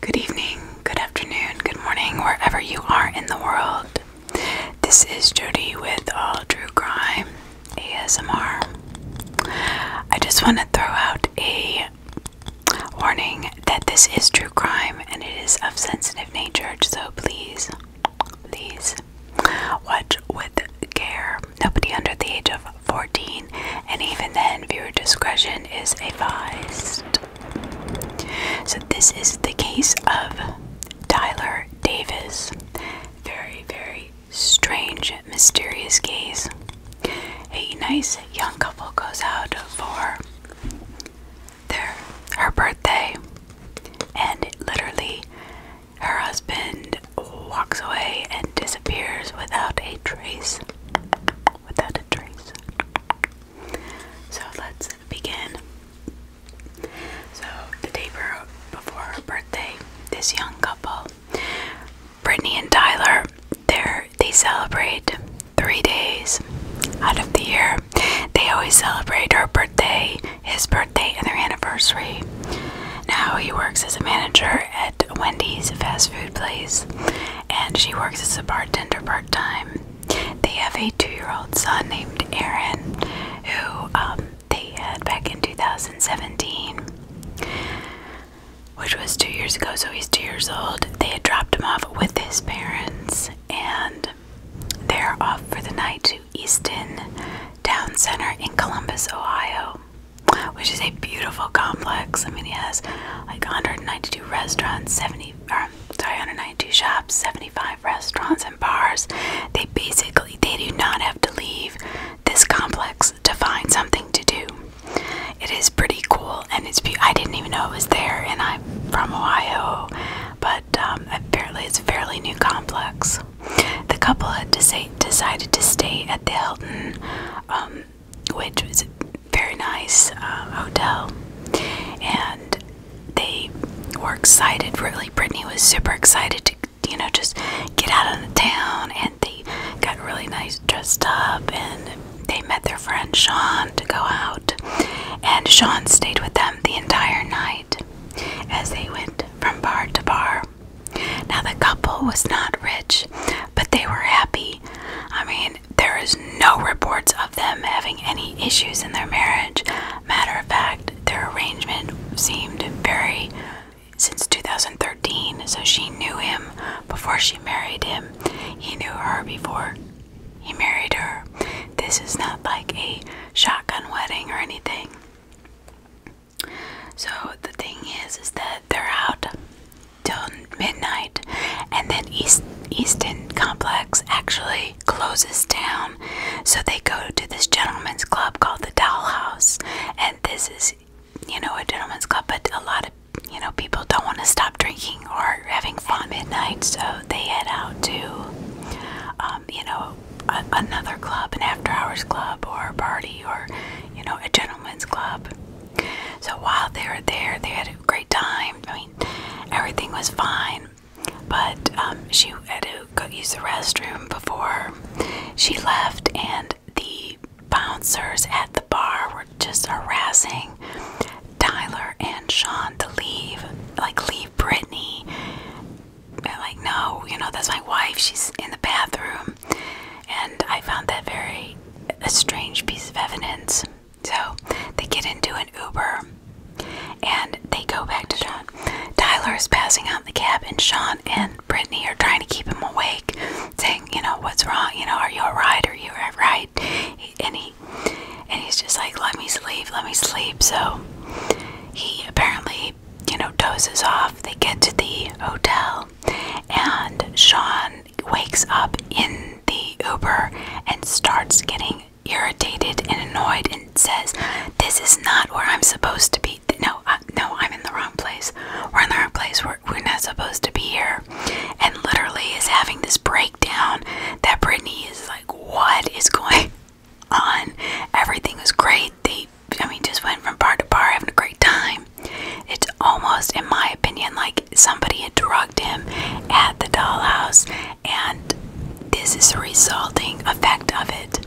Good evening, good afternoon, good morning, wherever you are in the world. This is Jody with All True Crime ASMR. I just want to throw out a Warning that this is true crime and it is of sensitive nature, so please, please watch with care. Nobody under the age of 14, and even then, viewer discretion is advised. So, this is the case of Tyler Davis. Very, very strange, mysterious case. A nice young couple goes out for their her birthday, and literally, her husband walks away and disappears without a trace. Without a trace. So let's begin. So, the day before her birthday, this young couple Brittany and Tyler, they they celebrate three days out of the year. They always celebrate her birthday, his birthday, and their anniversary. Now he works as a manager at Wendy's, fast food place, and she works as a bartender part time. They have a two-year-old son named Aaron, who um, they had back in 2017 which was two years ago, so he's two years old. They had dropped him off with his parents, and they're off for the night to Easton Town Center in Columbus, Ohio, which is a beautiful complex. I mean, he has like 192 restaurants, 70, sorry, 192 shops, 75 restaurants and bars. They basically they do not have to leave this complex to find something to do. It is pretty cool, and it's. Be I didn't even know it was there, and I'm from Ohio, but um, apparently it's a fairly new complex. The couple had decided to stay at the Hilton, um, which was a very nice uh, hotel, and they were excited. Really, Brittany was super excited to, you know, just get out of the town and they got really nice dressed up and they met their friend Sean to go out. And Sean stayed with them the entire night as they went from bar to bar. Now, the couple was not rich, but they were happy. I mean, there is no reports of them having any issues in their marriage. Matter of fact, their arrangement seemed very since 2013, so she knew him before she married him. He knew her before he married her. This is not like a shotgun wedding or anything. So the thing is, is that they're out till midnight, and then East Easton Complex actually closes down. So they go to this gentleman's club called the Dollhouse, and this is, you know, a gentleman's club, but a lot of you know, people don't want to stop drinking or having fun at night, so they head out to, um, you know, another club, an after hours club or a party or, you know, a gentleman's club. So while they were there, they had a great time. I mean, everything was fine, but um, she had to go use the restroom before she left, and the bouncers at the bar were just harassing Tyler and Sean to leave, like leave Brittany. They're like, no, you know, that's my wife. She's in the bathroom. And I found that very a strange piece of evidence. So they get into an Uber and they go back to Sean. Tyler is passing out in the cab, and Sean and Brittany are trying to keep him awake saying, you know, what's wrong? You know, are you alright? Are you alright? And he and he's just like, let me sleep, let me sleep. So he apparently, you know, dozes off. They get to the hotel, and Sean wakes up in the Uber and starts getting irritated and annoyed and says, "This is not where I'm supposed to be. No, I, no, I'm in the wrong place. We're in the wrong place. We're we're, not supposed to be here and literally is having this breakdown that brittany is like what is going on everything was great they i mean just went from bar to bar having a great time it's almost in my opinion like somebody had drugged him at the dollhouse and this is the resulting effect of it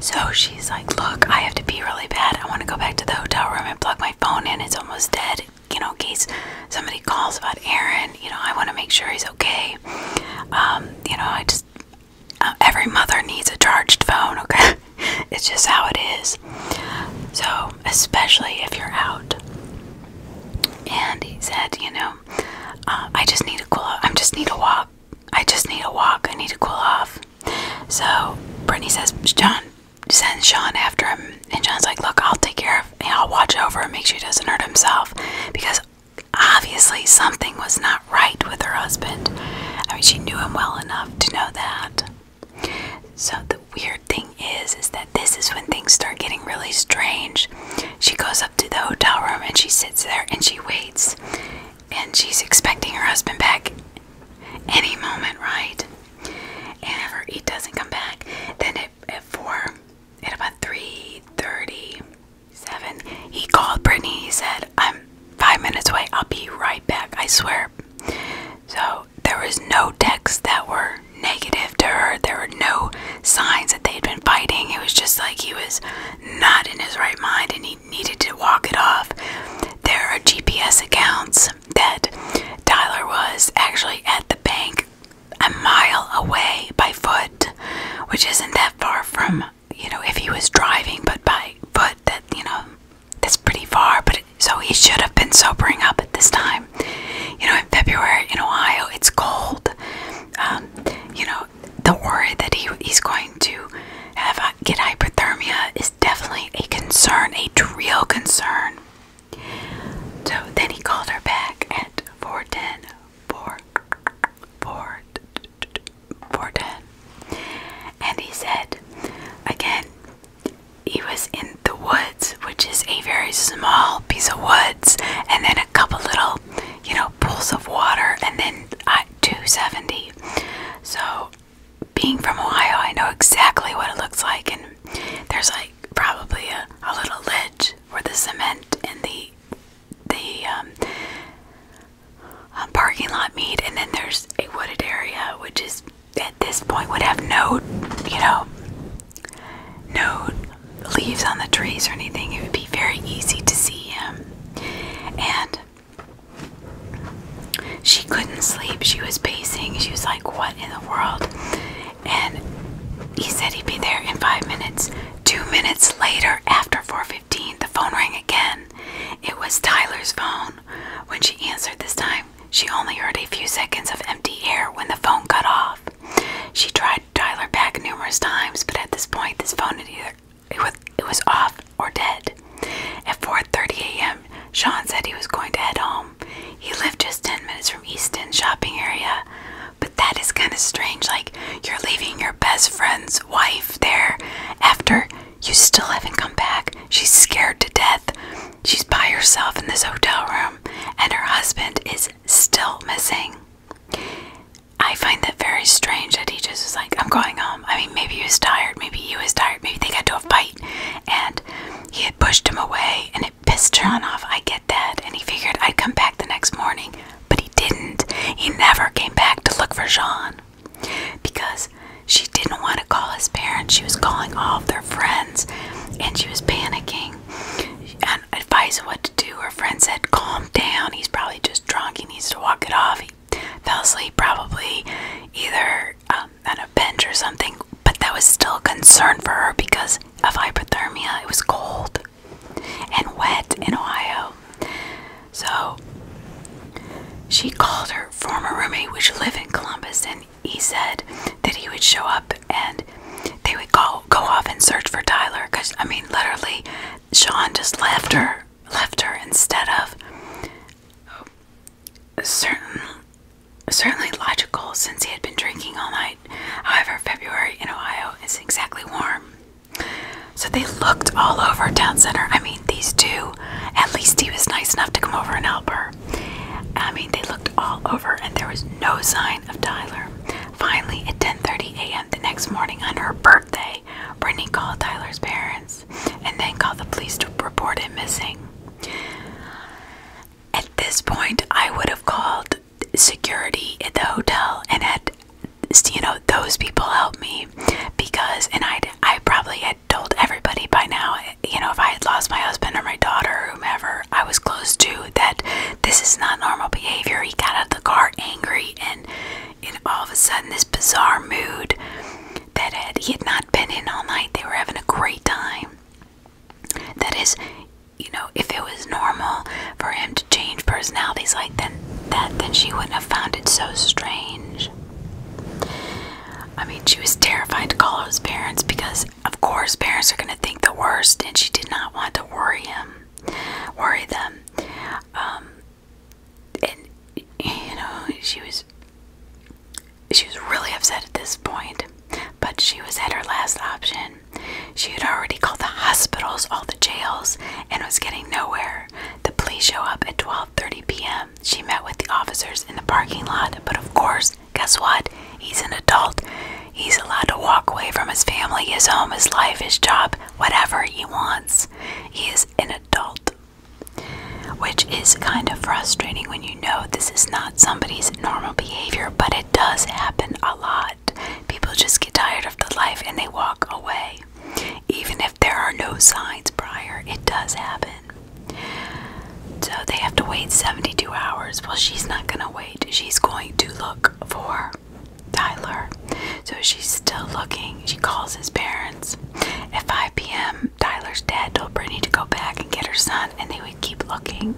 so she He's like, Look, I have to be really bad. I want to go back to the hotel room and plug my phone in. It's almost dead. You know, in case somebody calls about Aaron, you know, I want to make sure he's okay. Um, you know, I just, uh, every mother needs a charged phone, okay? it's just how it is. So, especially if you're out. And he said, You know, uh, I just need to cool off. I just need a walk. I just need a walk. I need to cool off. So Brittany says, John, sends Sean after him, and Sean's like, "Look, I'll take care of. I'll watch over and make sure he doesn't hurt himself." Because obviously something was not right with her husband. I mean, she knew him well enough to know that. So the weird thing is, is that this is when things start getting really strange. She goes up to the hotel room and she sits there and she waits, and she's expecting her husband back any moment, right? And if he doesn't come back, then at, at four, at about three thirty-seven, he called Brittany. He said, "I'm five minutes away. I'll be right back. I swear." So there was no texts that were negative to her. There were no signs that they had been fighting. It was just like he was not in his right mind and he needed to walk it off. There are GPS accounts that Tyler was actually at the bank a mile away by foot, which isn't that far from, you know, if he was driving, but by foot, that, you know, that's pretty far. But so he should have been sobering up at this time. You know, in February in Ohio, it's cold. Um, you know, the worry that he, he's going to have uh, get hyperthermia is definitely a concern, a real concern. So then he called her back at 410, And he said, again, he was in the woods, which is a very small piece of woods, and then a couple little, you know, pools of water, and then 270. So being from Ohio, I know exactly what it looks like, and there's like probably a, little ledge where the cement and the the um, uh, parking lot meet, and then there's a wooded area, which is at this point would have no, you know, no leaves on the trees or anything. It would be very easy to see him, and she couldn't sleep. She was pacing. She was like, What in the world? And he said he'd be there in five minutes. Two minutes later, after 4:15, the phone rang again. It was Tyler's phone. When she answered this time, she only heard a few seconds of empty air when the phone cut off. She tried Tyler back numerous times, but at this point, this phone had either it was, it was off or dead. At 4:30 a.m., Sean said he was going to head home. He lived just 10 minutes from Easton shopping area, but that is kind of strange. Like you're leaving your best friend's wife there after you still haven't come back. She's scared to death. She's by herself in this hotel room, and her husband is still missing. I find that very strange that he just was like, I'm going home. I mean, maybe he was tired, maybe he was tired, maybe they got to a fight and he had pushed him away, and it pissed John off. I get that, and he figured I'd come back the next morning, but he didn't. He never came back to look for Jean because she didn't want to call his parents. She was calling all of their friends, and she was panicking She and advising what to do. Her friend said, "Calm down. He's probably just drunk. He needs to walk it off. He fell asleep probably either um, on a bench or something, but that was still a concern for her because of hypothermia. It was cold and wet in Ohio. So she called her former roommate, which lived in Columbus, and he said that he would show up and they would go go off and search for Tyler. Cause I mean, literally, Sean just left her, left her instead of certain, certainly logical since he had been drinking all night. However, February in Ohio is exactly warm. So they looked all over town center. I mean, these two, at least he was nice enough to come over and help her. I mean, they looked all over and there was no sign of Tyler. Finally, at 10:30 a.m. the next morning on her birthday, Brittany called Tyler's parents and then called the police to report him missing. At this point, I would have called security at the hotel and had, you know, those people help me because, and I, I probably had told everybody by now, you know, if I had lost my husband or my daughter or whomever I was close to, that this is not normal behavior. He got out of the car angry and, and all of a sudden, this bizarre mood that he had not been in all night. They were having a great time. That is, you know, if it was normal for him to change personalities like then that, then she wouldn't have found it so strange. I mean, she was terrified to call his parents because, of course, parents are going to think the worst, and she did not want to worry him, worry them. Um, and you know, she was she was really upset at this point, but she was at her last option. She had already called the hospitals, all the jails, and was getting nowhere. The police show up at 12:30 p.m. She met with the officers in the parking lot, but of course, guess what? He's an adult. He's allowed to walk away from his family, his home, his life, his job, whatever he wants. He is an adult. Which is kind of frustrating when you know this is not somebody's normal behavior, but it does happen a lot. People just get tired of the life and they walk away. Even if there are no signs prior, it does happen. So they have to wait 72 hours. Well, she's not going to wait. She's going to look for Tyler. So she's still looking. She calls his parents. At 5 p.m., Tyler's dad told Brittany to go back and get her son, and they would keep looking.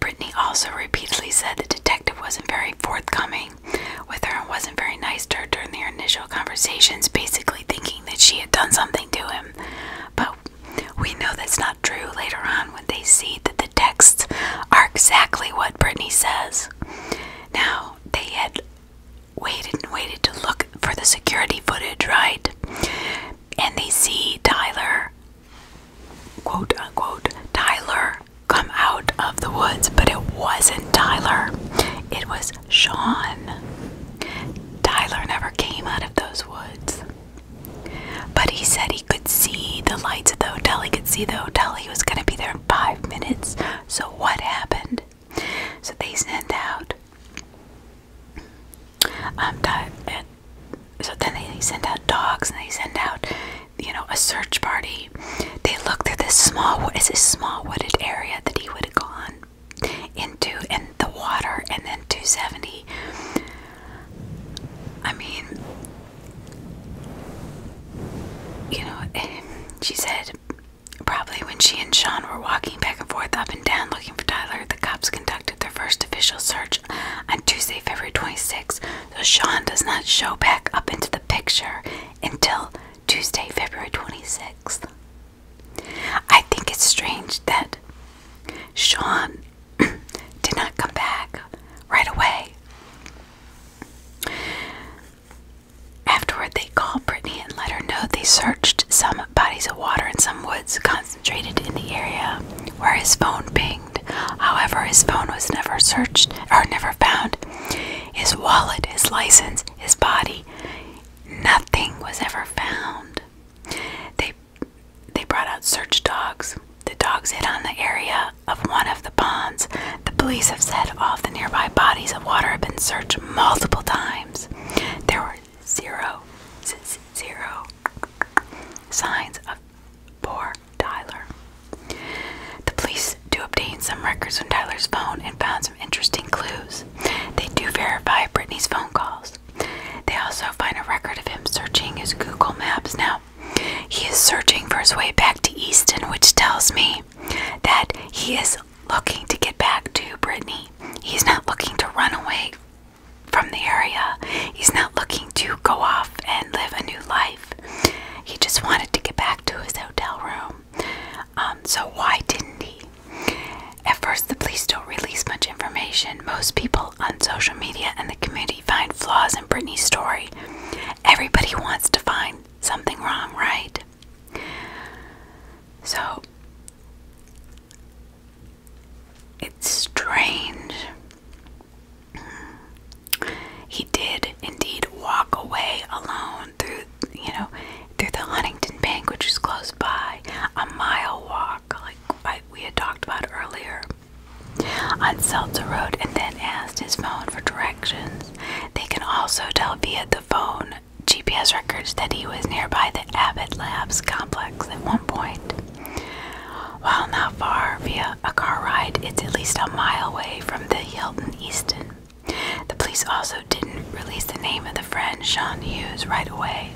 Brittany also repeatedly said the detective wasn't very forthcoming with her and wasn't very nice to her during their initial conversations, basically thinking that she had done something to him. But we know that's not true later on when they see that the texts are exactly what Brittany says. Now, they had waited and waited to look for the security footage, right? And they see Tyler, quote unquote, Tyler come out of the woods, but it wasn't Tyler, it was Sean. Tyler never came out of those woods. But he said he could see the lights at the hotel. He could see the hotel. He was going to be there in five minutes. So, what happened? So they sent out um, so then they send out dogs and they send out you know a search party. They look through this small is this small wooded area that he would have gone into and the water and then 270. I mean you know eh, she said Probably when she and Sean were walking back and forth up and down looking for Tyler, the cops conducted their first official search on Tuesday, February twenty-sixth. so Sean does not show back up into the picture until Tuesday, February 26th. I think it's strange that Sean did not come back right away. Afterward, they called Brittany and let her know they searched some bodies of water and some woods concentrated in the area where his phone pinged. However, his phone was never searched or never found. His wallet, his license, his body, nothing was ever found. They they brought out search dogs. The dogs hit on the area of one of the ponds. The police have said all the nearby bodies of water have been searched multiple times. There were zero, zero signs of poor Tyler. The police do obtain some records from Tyler's phone and found some interesting clues. They do verify Brittany's phone calls. They also find a record of him searching his Google Maps. Now, he is searching for his way back to Easton, which tells me that he is looking to get back to Brittany. He's not looking to run away from the area. He's not looking to go off and live a new life. He just wanted to get back to his hotel room. Um, so, why didn't he? At first, the police don't release much information. Most people on social media and the community find flaws in Brittany's story. Everybody wants to find something wrong, right? So it's strange. He did indeed walk away alone through, you know, through the Huntington Bank, which is close by, a mile walk, like we had talked about earlier, on Seltzer Road, and then asked his phone for directions. They can also tell via the phone GPS records that he was nearby the Abbott Labs complex at one point. While not far via a car ride, it's at least a mile away from the Hilton Easton. The police also didn't release the name of the friend, Sean Hughes, right away.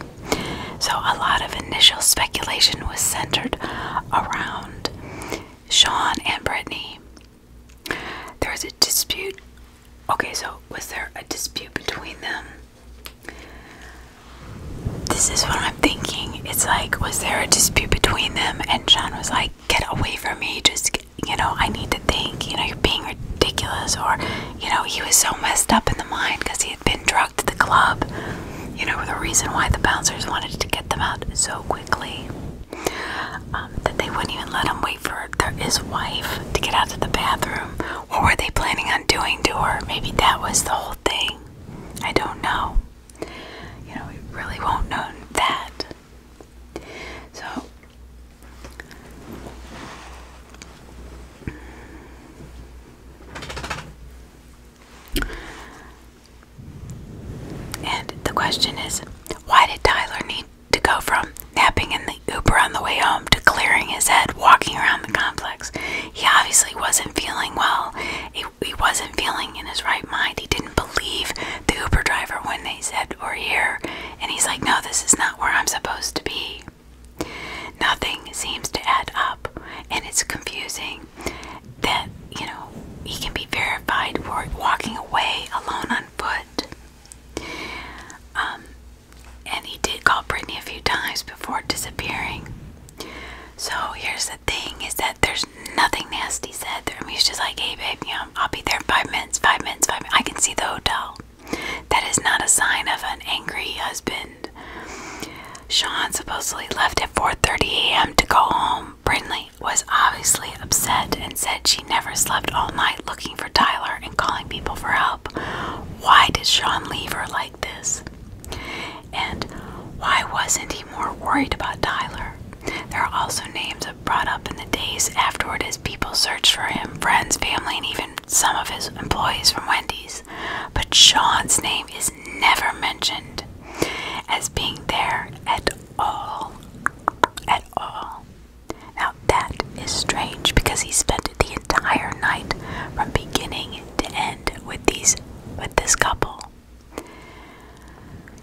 So a lot of initial speculation was centered around Sean and Brittany. There was a dispute Okay, so was there a dispute between them? This is what I'm thinking. It's like, was there a dispute between them? And Sean was like, get away from me. Just, you know, I need to think. You know, you're being ridiculous. Or, you know, he was so messed up in the mind because he had been drugged at the club. You know, the reason why the bouncers wanted to get them out so quickly um, that they wouldn't even let him wait for his wife to get out to the bathroom what were they planning on doing to her? Maybe that was the whole thing. I don't know. You know, we really won't know that. So. And the question is why did Tyler need to go from napping in the Uber on the way home to clearing his head walking around the complex. He obviously wasn't feeling well. He, wasn't feeling in his right mind. He didn't believe the Uber driver when they said, We're here. And he's like, No, this is not where I'm supposed to be. Nothing seems to add up, and it's confusing that, you know, he can be verified for walking away alone on foot. Um, and he did call Brittany a few times before disappearing. So here's the thing is that there's nothing nasty said. There. I he's just like, hey, babe, I'll be there in five minutes, five minutes, five minutes. I can see the hotel. That is not a sign of an angry husband. Sean supposedly left at 4.30 a.m. to go home. Brittany was obviously upset and said she never slept all night looking for Tyler and calling people for help why did Sean leave her like this? And why wasn't he more worried about Tyler? There are also names brought up in the days afterward as people searched for him friends, family, and even some of his employees from Wendy's. But Sean's name is never mentioned as being there at all. At all. Now that is strange because he spent the entire night from beginning to end with these with this couple.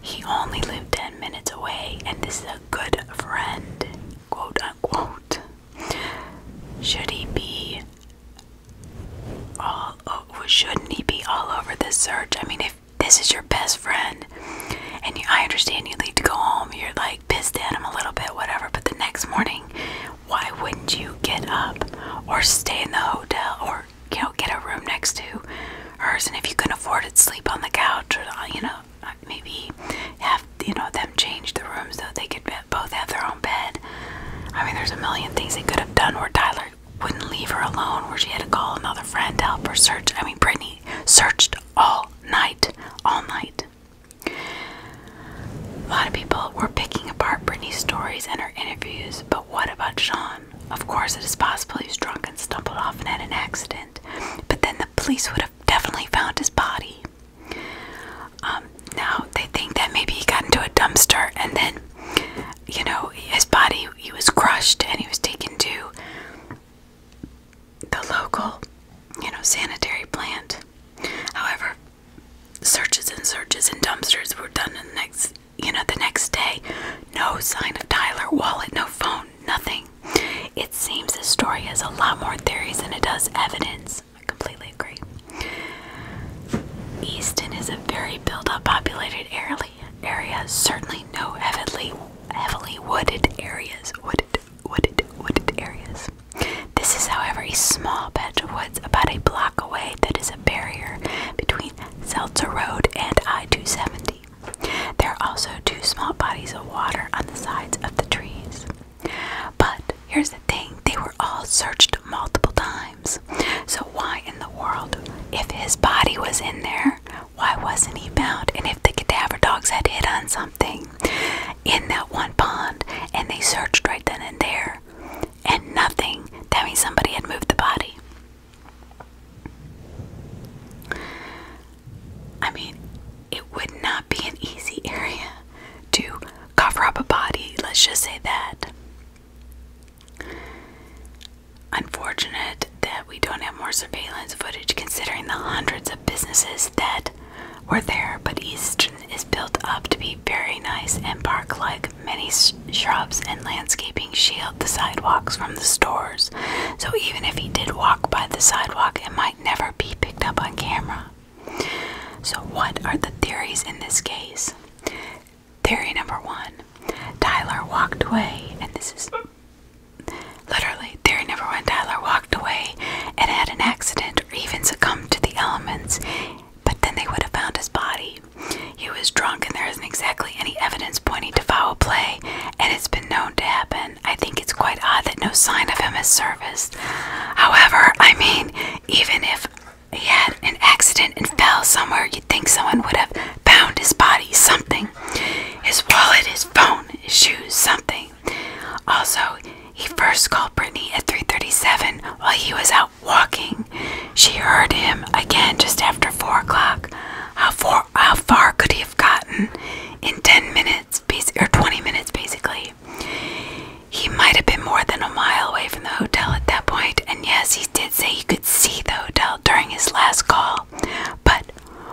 He only lived ten minutes away, and this is a good friend, quote unquote. Should he be all? Shouldn't he be all over the search? I mean, if this is your best friend, and I understand you need to go home, you're like pissed at him a little bit, whatever. But the next morning, why wouldn't you get up or stay in the hotel or you know get a room next to hers? And if you can afford it, sleep on the couch or uh, you know uh, maybe have you know them change the rooms so they could both have their own bed. I mean, there's a million things they could have done where Tyler wouldn't leave her alone, where she had to call another friend to help her search. I mean, Brittany searched all night, all night. A lot of people were picking apart Britney's stories and her interviews, but what about Sean? Of course, it is possible he was drunk and stumbled off and had an accident, but then the police would have definitely found his body. Um, now they think that maybe he got into a dumpster and then, you know, his body he was crushed and he was taken to the local, you know, sanitary plant. However, searches and searches and dumpsters were done in the next, you know, the next day. No sign of Tyler, wallet, no phone, nothing. It seems this story has a lot more theories than it does evidence. I completely agree. Easton is a very built-up, populated area. Area certainly no heavily, heavily wooded areas. Would wooded, wooded, areas. This is, however, a small patch of woods about a block away that is a barrier between Seltzer Road and I 270. There are also two small bodies of water on the sides of the trees. But here's the thing they were all searched multiple times. So, why in the world, if his body was in there, why wasn't he found? And if the cadaver dogs had hit on something? something in that one pond and they searched right then and there and nothing. That means somebody had moved the body. I mean, it would not be an easy area to cover up a body, let's just say that. Unfortunate that we don't have more surveillance footage considering the hundreds of businesses instead were there, but Easton is built up to be very nice and park like. Many shrubs and landscaping shield the sidewalks from the stores, so even if he did walk by the sidewalk, it might never be picked up on camera. So, what are the theories in this case? Theory number one Tyler walked away, and this is literally Theory never one Tyler walked away and had an accident or even succumbed to the elements, but then they would have found his body. He was drunk, and there isn't exactly any evidence pointing to foul play, and it's been known to happen. I think it's quite odd that no sign of him is surfaced. However, I mean, even if he had an accident and fell somewhere, you'd think someone would have found his body, something. His wallet, his phone, his shoes, something. Also, he first called Brittany at 3:37 while he was out walking. She heard him again just after four o'clock. How far? How far could he have gotten in ten minutes, or twenty minutes, basically? He might have been more than a mile away from the hotel at that point, point. and yes, he did say he could see the hotel during his last call. But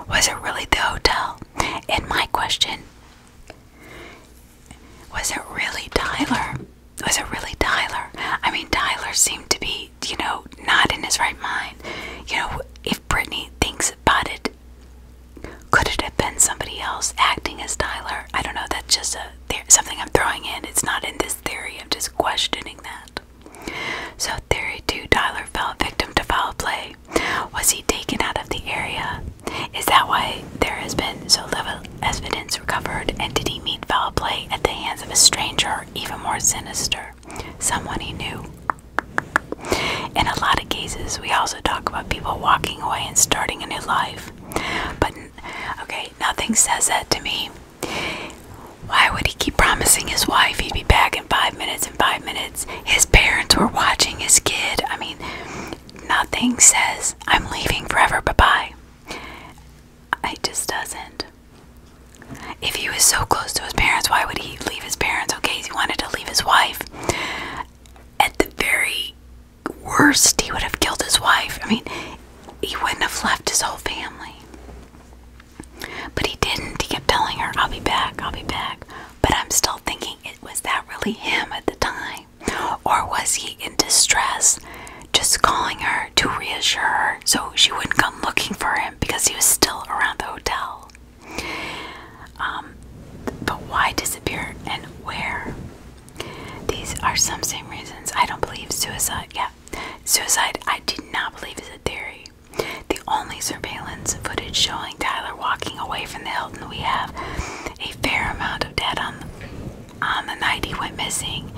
was it really the hotel? And my question was it really Tyler? Was it really Tyler? I mean, Tyler seemed to be, you know, not in his right mind. You know, if Brittany thinks about it, could it have been somebody else acting as Tyler? I don't know. That's just something I'm throwing in. It's not in this theory. I'm just questioning that. So, theory two: Tyler fell victim to foul play. Was he taken out of the area? Is that why there has been so little evidence recovered? And did he meet foul play at the hands of a stranger or even more sinister, someone he knew? In a lot of cases, we also talk about people walking away and starting a new life. But, okay, nothing says that to me. Why would he keep promising his wife he'd be back in five minutes? In five minutes, his parents were watching his kid. I mean, nothing says I'm leaving forever, bye bye. It just doesn't. If he was so close to his parents, why would he leave his parents? Okay, he wanted to leave his wife. At the very worst, he would have killed his wife. I mean, he wouldn't have left his whole family. But he didn't. He kept telling her, I'll be back, I'll be back. But I'm still thinking, it was that really him at the time? Or was he in distress, just calling her to reassure her so she wouldn't come looking for him because he was still around the hotel? Um, but why disappear and where? These are some same reasons. I don't believe suicide. Yeah, suicide I did not believe is a theory. The only surveillance footage showing Tyler walking away from the Hilton we have a fair amount of datum on the night he went missing.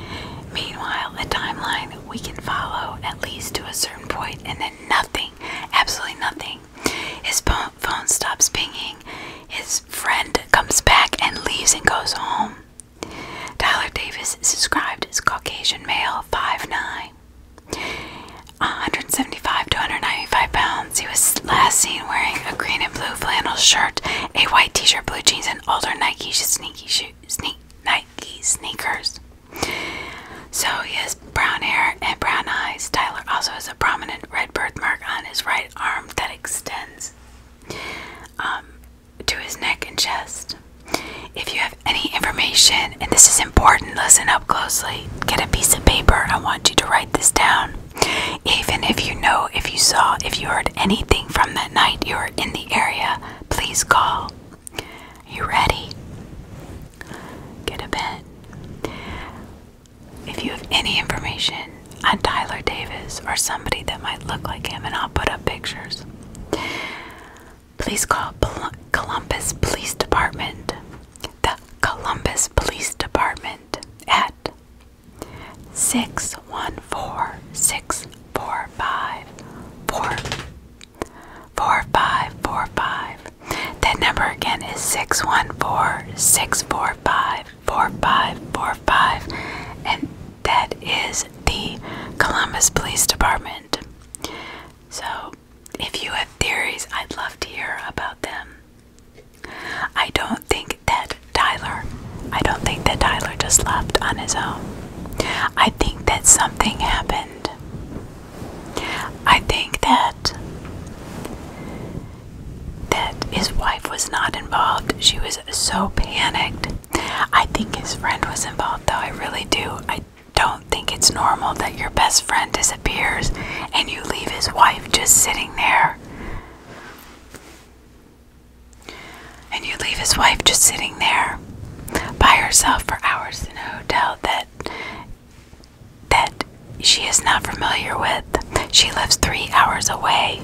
Meanwhile, a timeline we can follow at least to a certain point, and then nothing, absolutely nothing. His phone stops pinging, his friend comes back and leaves and goes home. Tyler Davis is described as Caucasian male, five nine. 175 to 195 pounds. He was last seen wearing a green and blue flannel shirt, a white t-shirt, blue jeans, and older Nike sneaky shoes, Nike sneakers. So he has brown hair and brown eyes. Tyler also has a prominent red birthmark on his right arm that extends um, to his neck and chest. If you have any information, and this is important, listen up closely. Get a piece of paper. I want you to write this down. Even if you know, if you saw, if you heard anything from that night, you were in the area, please call. You ready? Get a bed. If you have any information on Tyler Davis or somebody that might look like him, and I'll put up pictures, please call Columbus Police Department the Columbus Police Department at 614 645 4545. That number again is 614 645 4545, and that is the Columbus Police Department. So, if you have theories, I'd love to hear about them. I don't think that Tyler, I don't think that Tyler just left on his own. I think that something happened. I think that that his wife was not involved. She was so panicked. I think his friend was involved though. I really do. I don't think it's normal that your best friend disappears and you leave his wife just sitting there. And you leave his wife just sitting there by herself for hours in a hotel that that she is not familiar with. She lives three hours away.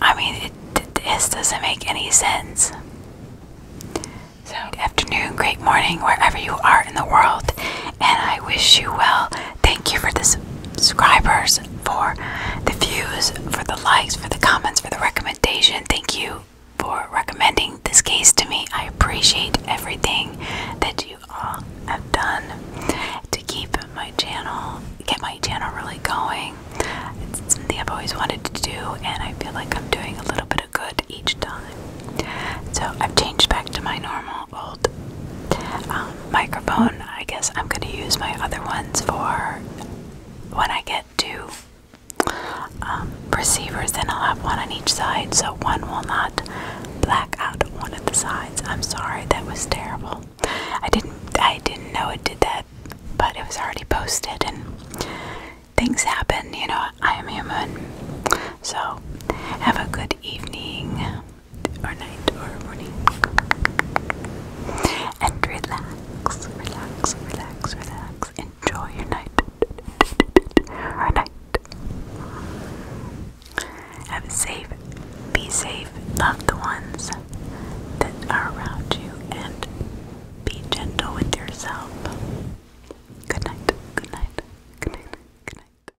I mean, this doesn't make any sense. So, good afternoon, great morning, wherever you are in the world, and I wish you well. Thank you for the subscribers, for the views, for the likes, for the comments, for the recommendation. Thank you for recommending this case to me. I appreciate everything that you all have done to keep my channel, get my channel really going. It's something I've always wanted to do, and I feel like I'm doing a little bit of good each time. So I've changed back to my normal old um, microphone. I guess I'm going to use my other ones for when I get two um, receivers, then I'll have one on each side so one will not black out one of the sides. I'm sorry, that was terrible. I didn't I didn't know it did that, but it was already posted and things happen, you know, I am human. So have a good evening or night or morning. And relax, relax, relax, relax. Enjoy your night or night. Have a safe, be safe, love the ones that are around you, and be gentle with yourself. Good night, good night, good night, good night.